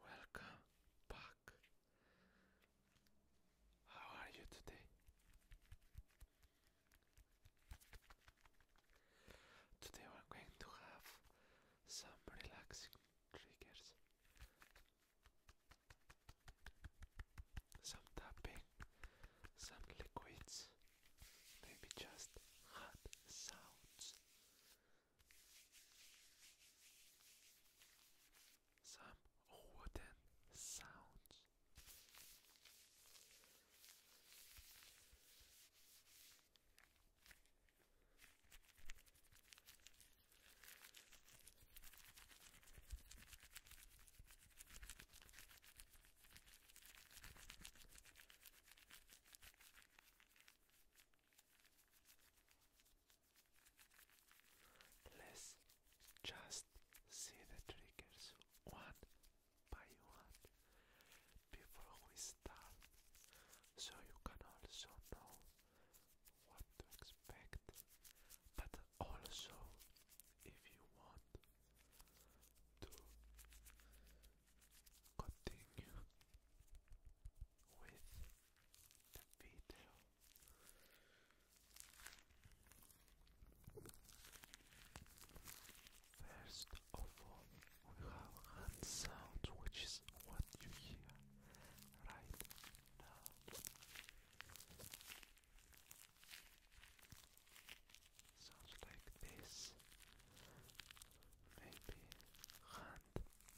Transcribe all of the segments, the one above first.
Welcome back. How are you today? Today we're going to have some relaxing triggers, some tapping, some liquids, maybe just hot sounds. Some wooden sounds. Let's just see the triggers one by one before we start, so you can also know what to expect, but also if you want to continue with video. First of all, we have hand sound, which is what you hear right now. Sounds like this. Maybe hand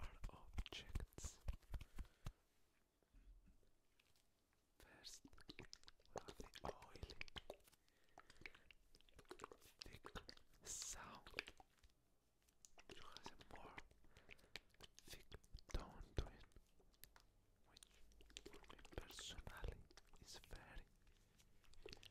are objects. First, oily, thick sound. It has more thick tone to it, which personally is very, very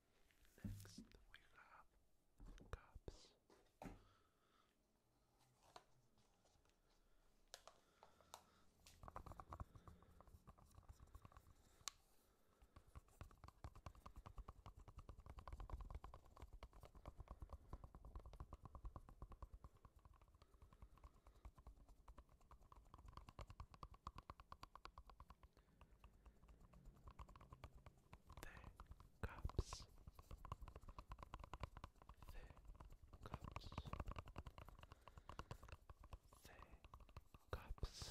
Next, we have cups. The cups. The cups. The cups.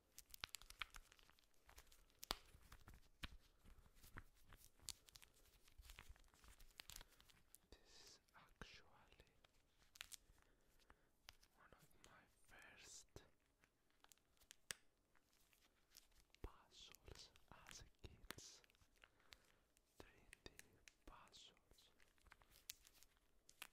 This is actually one of my first puzzles as a kids. 3 puzzles.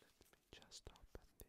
Let me just open this.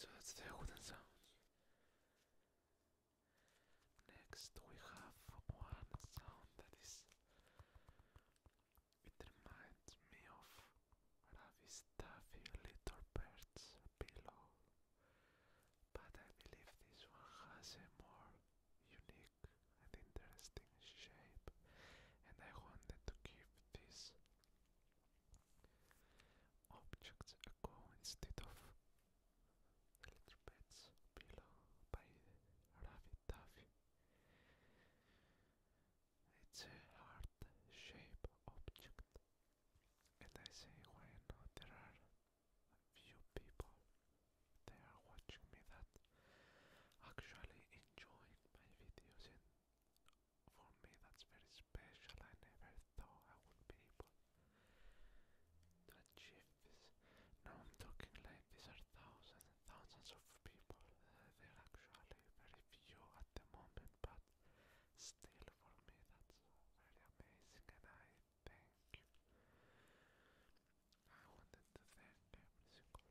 So that's the wooden sound. Next we have one sound that is it reminds me of Ravi Staffy Little bird below, But I believe this one has a more unique and interesting shape and I wanted to give this objects ago instead of little bits below by Ravi It's a hard shape object, and I say why not? There are few people they watching me that actually enjoying my videos for me that's very special. I never thought I would be able to achieve this. Now I'm talking like these are thousands and thousands of people. Uh, there are actually very few at the moment, but still for me that's very amazing and I thank you. I wanted to thank every single one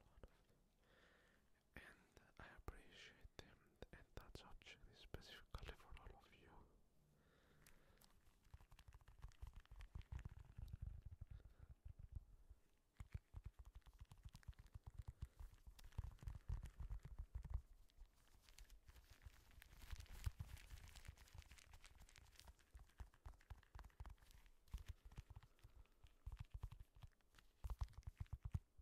and I appreciate them, and that subject for all of you.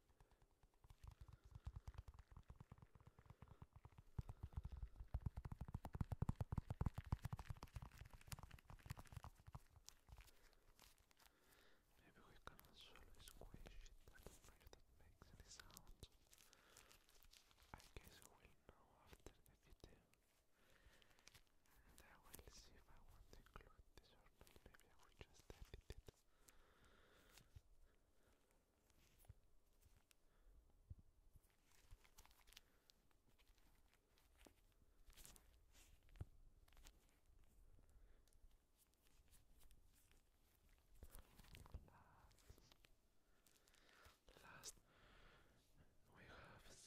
Maybe we can actually squish it and where makes any sound. I guess I will know after the video. And I will see if I want to include this or not yeah, last we have some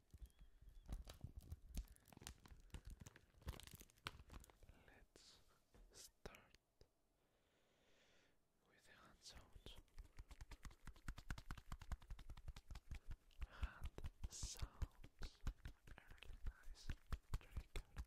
Let's start with hand sounds. Hand sounds are nice trigger.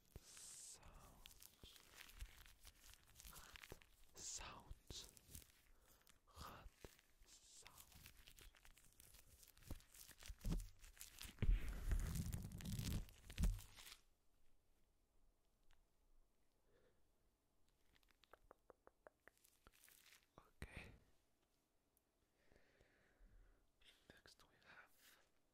sounds hot sounds hot sounds Okay. Next we have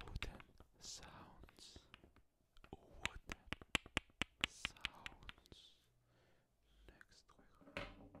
Wooden sounds. Wooden sounds. Next trigger.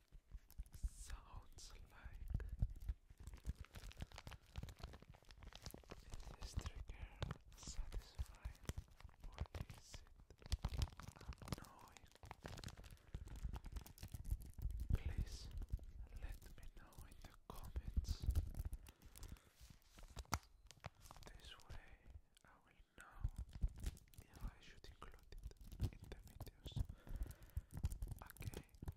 sounds like this trigger satisfying or is it annoying? Please let me know in the comments. This way I will know if I should include it in the videos again or not.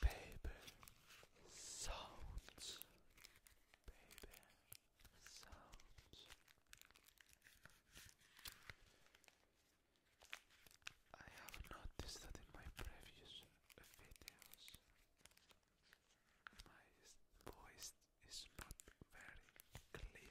Baby sounds. Baby sounds. I have noticed that in my previous videos, my voice is not very clear.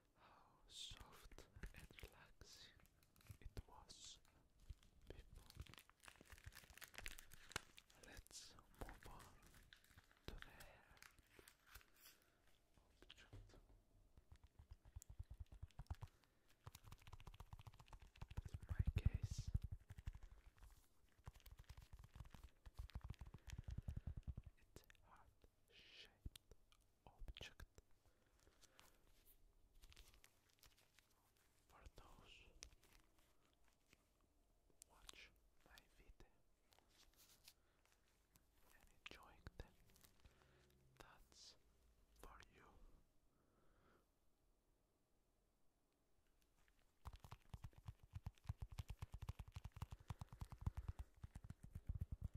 how soft and relaxing it was Let's move on to the hair my case, it's heart object. For those watch my video and enjoying them, that's for you.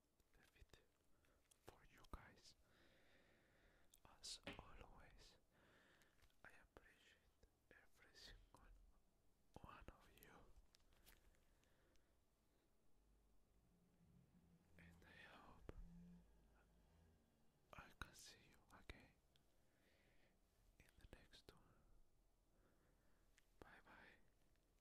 leave it for you guys. As always, I appreciate every single one of you. And I hope I can see you again in the next one. Bye bye.